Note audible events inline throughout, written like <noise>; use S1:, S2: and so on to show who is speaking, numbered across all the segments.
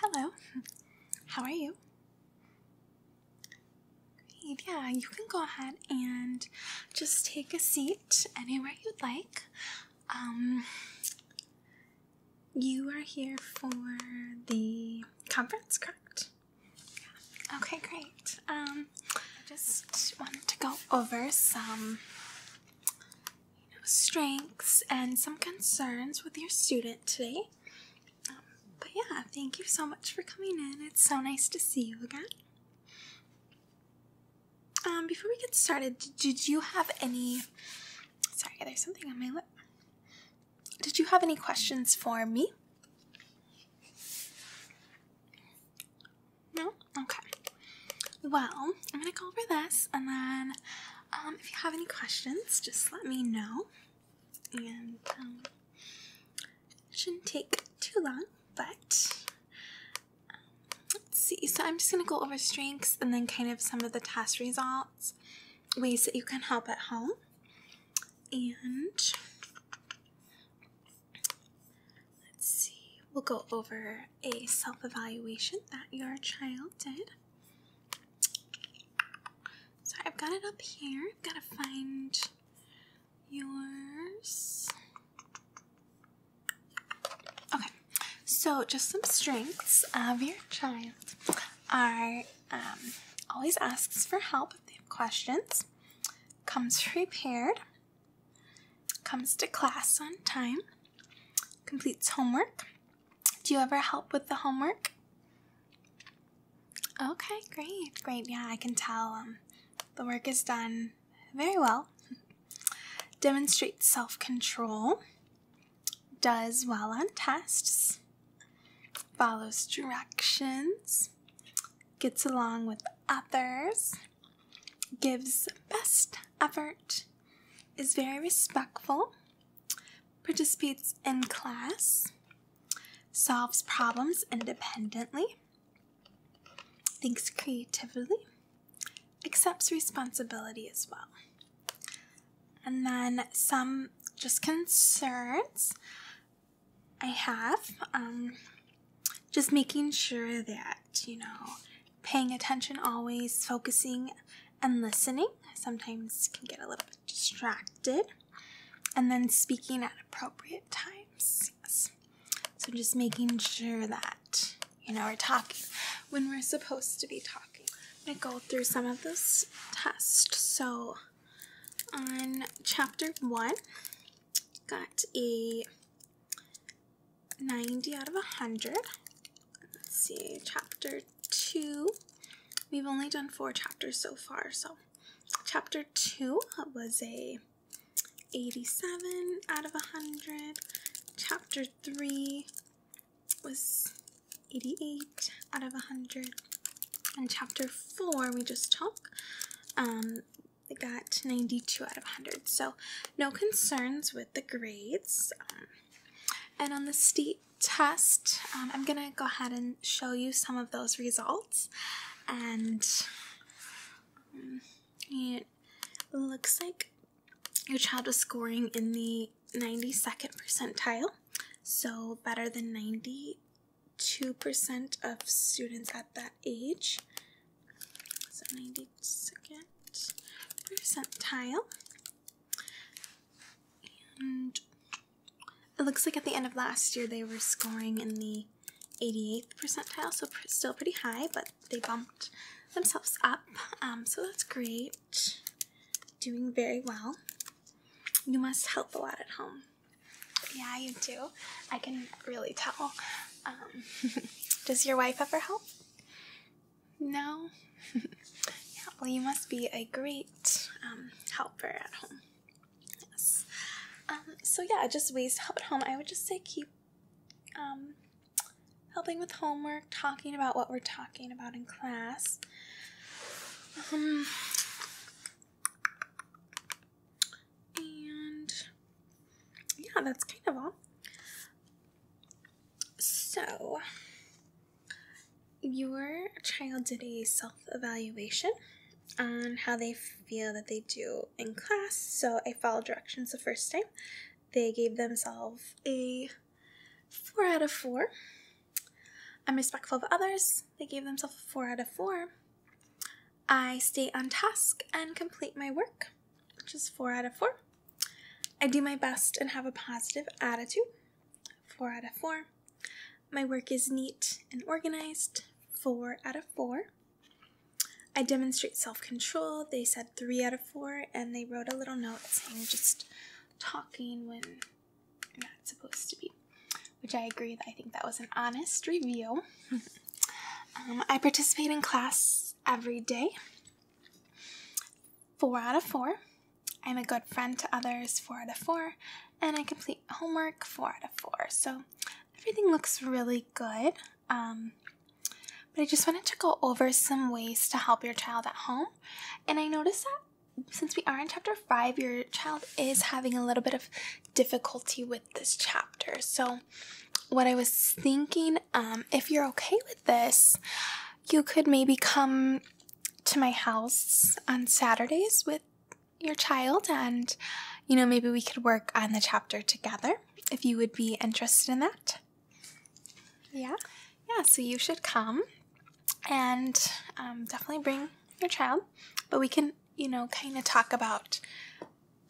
S1: Hello, how are you? yeah, you can go ahead and just take a seat anywhere you'd like. Um, you are here for the conference, correct? Okay, great. Um, I just wanted to go over some strengths and some concerns with your student today. Um, but yeah, thank you so much for coming in. It's so nice to see you again. Um, before we get started, did you have any? Sorry, there's something on my lip. Did you have any questions for me? No? Okay. Well, I'm gonna go over this, and then um, if you have any questions, just let me know. And um, it shouldn't take too long, but um, let's see. So I'm just gonna go over strengths and then kind of some of the test results, ways that you can help at home, and Let's see, we'll go over a self evaluation that your child did. So I've got it up here. I've got to find yours. Okay, so just some strengths of your child are um, always asks for help if they have questions, comes prepared, comes to class on time, completes homework. Do you ever help with the homework? Okay, great, great. Yeah, I can tell um, the work is done very well. <laughs> Demonstrates self control, does well on tests, follows directions, gets along with others, gives best effort, is very respectful, participates in class, solves problems independently, thinks creatively, accepts responsibility as well. And then some just concerns I have. Um, just making sure that, you know, paying attention always, focusing and listening. Sometimes can get a little bit distracted. And then speaking at appropriate times. So just making sure that, you know, we're talking when we're supposed to be talking. I'm go through some of this test. So on chapter one, got a 90 out of 100. Let's see, chapter 2. We've only done four chapters so far, so chapter 2 was a 87 out of 100. Chapter 3 was 88 out of 100. And chapter 4 we just took um, they got 92 out of 100. So no concerns with the grades. Um, and on the state test, um, I'm going to go ahead and show you some of those results. And um, it looks like your child was scoring in the 92nd percentile, so better than 90 2% of students at that age. So 92nd percentile. And it looks like at the end of last year they were scoring in the 88th percentile, so still pretty high, but they bumped themselves up. Um, so that's great. Doing very well. You must help a lot at home. Yeah, you do. I can really tell. Um, <laughs> does your wife ever help? No? <laughs> yeah, well, you must be a great um, helper at home. Yes. Um, so, yeah, just ways to help at home. I would just say keep um, helping with homework, talking about what we're talking about in class. Um, and yeah, that's kind of all. So, your child did a self evaluation on how they feel that they do in class. So, I followed directions the first time. They gave themselves a four out of four. I'm respectful of others. They gave themselves a 4 out of 4. I stay on task and complete my work, which is 4 out of 4. I do my best and have a positive attitude, 4 out of 4. My work is neat and organized, 4 out of 4. I demonstrate self control. They said 3 out of 4, and they wrote a little note saying just talking when not supposed to be, which I agree that I think that was an honest review. Um, I participate in class every day. Four out of four. I'm a good friend to others, four out of four, and I complete homework, four out of four. So everything looks really good. Um, but I just wanted to go over some ways to help your child at home. And I noticed that since we are in chapter five, your child is having a little bit of difficulty with this chapter. So, what I was thinking, um, if you're okay with this, you could maybe come to my house on Saturdays with your child, and you know, maybe we could work on the chapter together if you would be interested in that. Yeah, yeah, so you should come and um, definitely bring your child. But we can, you know, kind of talk about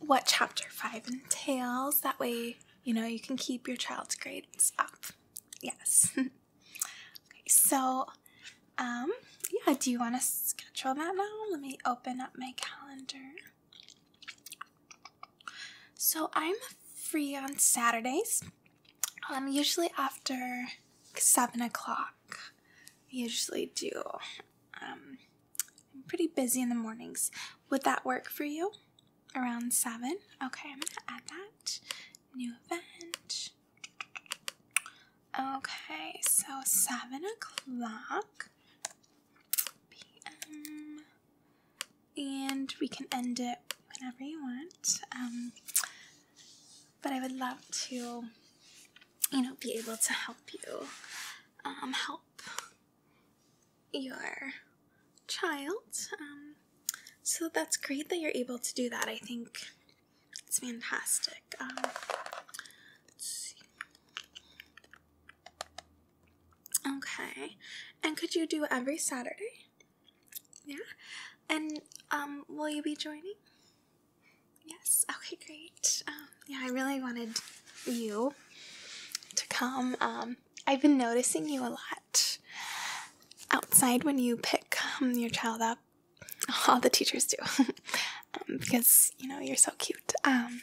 S1: what chapter five entails. That way, you know, you can keep your child's grades up. Yes. <laughs> okay, so, um, yeah, do you want to schedule that now? Let me open up my calendar. So, I'm free on Saturdays um, usually after seven o'clock, I usually do. Um, I'm pretty busy in the mornings. Would that work for you? Around seven? Okay, I'm gonna add that. New event. Okay, so seven o'clock p.m and we can end it whenever you want. Um, but I would love to, you know, be able to help you um, help your child. Um, so that's great that you're able to do that. I think it's fantastic. Um, Okay. And could you do every Saturday? Yeah. And um, will you be joining? Yes. Okay, great. Um, yeah, I really wanted you to come. Um, I've been noticing you a lot outside when you pick um, your child up. <laughs> All the teachers do, <laughs> um, because you know you're so cute. Um,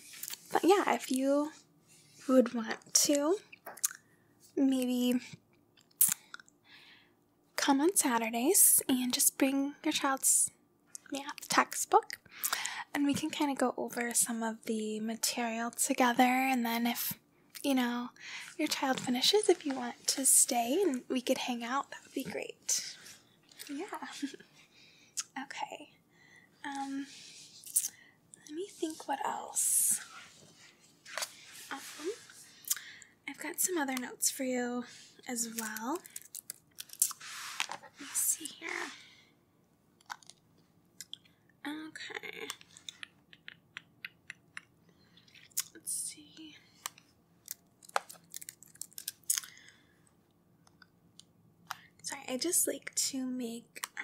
S1: but yeah, if you would want to, maybe come on Saturdays and just bring your child's math textbook and we can kind of go over some of the material together and then if you know your child finishes if you want to stay and we could hang out that would be great yeah <laughs> okay um, let me think what else. Um, I've got some other notes for you as well. Let us see here. Okay. Let's see. Sorry, I just like to make um,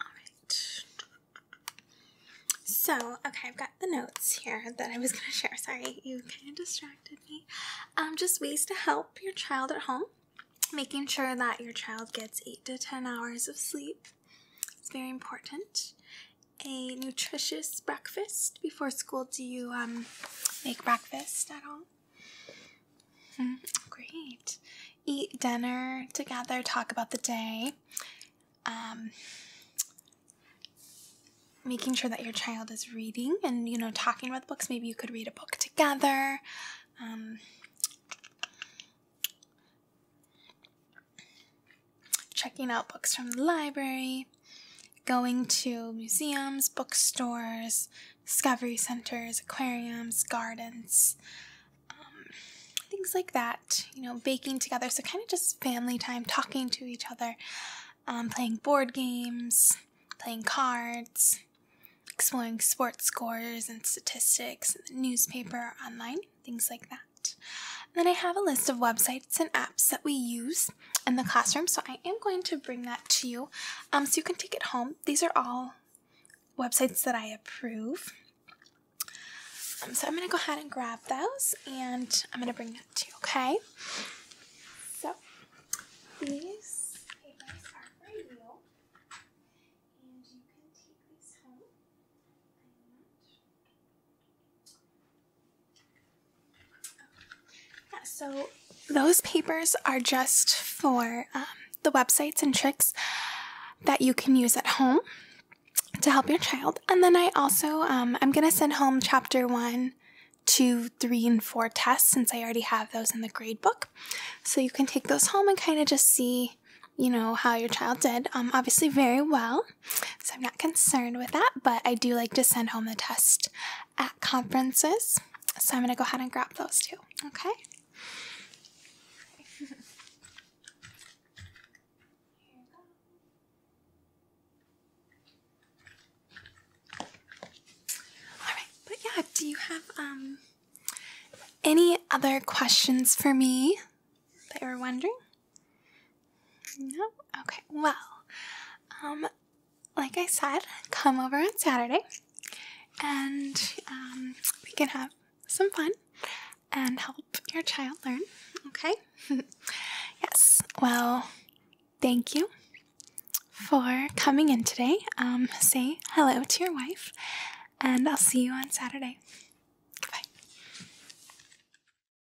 S1: All right. So, okay, I've got the notes here that I was going to share. Sorry, you kind of distracted me. Um, just ways to help your child at home. Making sure that your child gets 8 to 10 hours of sleep It's very important. A nutritious breakfast before school. Do you um, make breakfast at all? Hmm, great. Eat dinner together, talk about the day. Um, making sure that your child is reading and you know talking about books maybe you could read a book together um, checking out books from the library going to museums bookstores discovery centers, aquariums, gardens, um, things like that. You know, baking together. So, kind of just family time, talking to each other, um, playing board games, playing cards, exploring sports scores and statistics, newspaper, online, things like that. then I have a list of websites and apps that we use in the classroom. So I am going to bring that to you um, so you can take it home. These are all websites that I approve. Um, so I'm going to go ahead and grab those and I'm going to bring that to you, okay? So these papers are for you. And you can take these home. Yeah, so those papers are just for um, the websites and tricks that you can use at home to help your child. And then I also, um, I'm going to send home chapter one, two, three, and four tests since I already have those in the grade book. So you can take those home and kind of just see, you know, how your child did. Um, obviously, very well. So I'm not concerned with that, but I do like to send home the test at conferences. So I'm going to go ahead and grab those too. okay? <laughs> All right, but yeah, do you have um any other questions for me that you were wondering? No? Okay, well, um, like I said, come over on Saturday and um, we can have some fun and help your child learn, okay? <laughs> yes, well, thank you for coming in today. Um, say hello to your wife, and I'll see you on Saturday.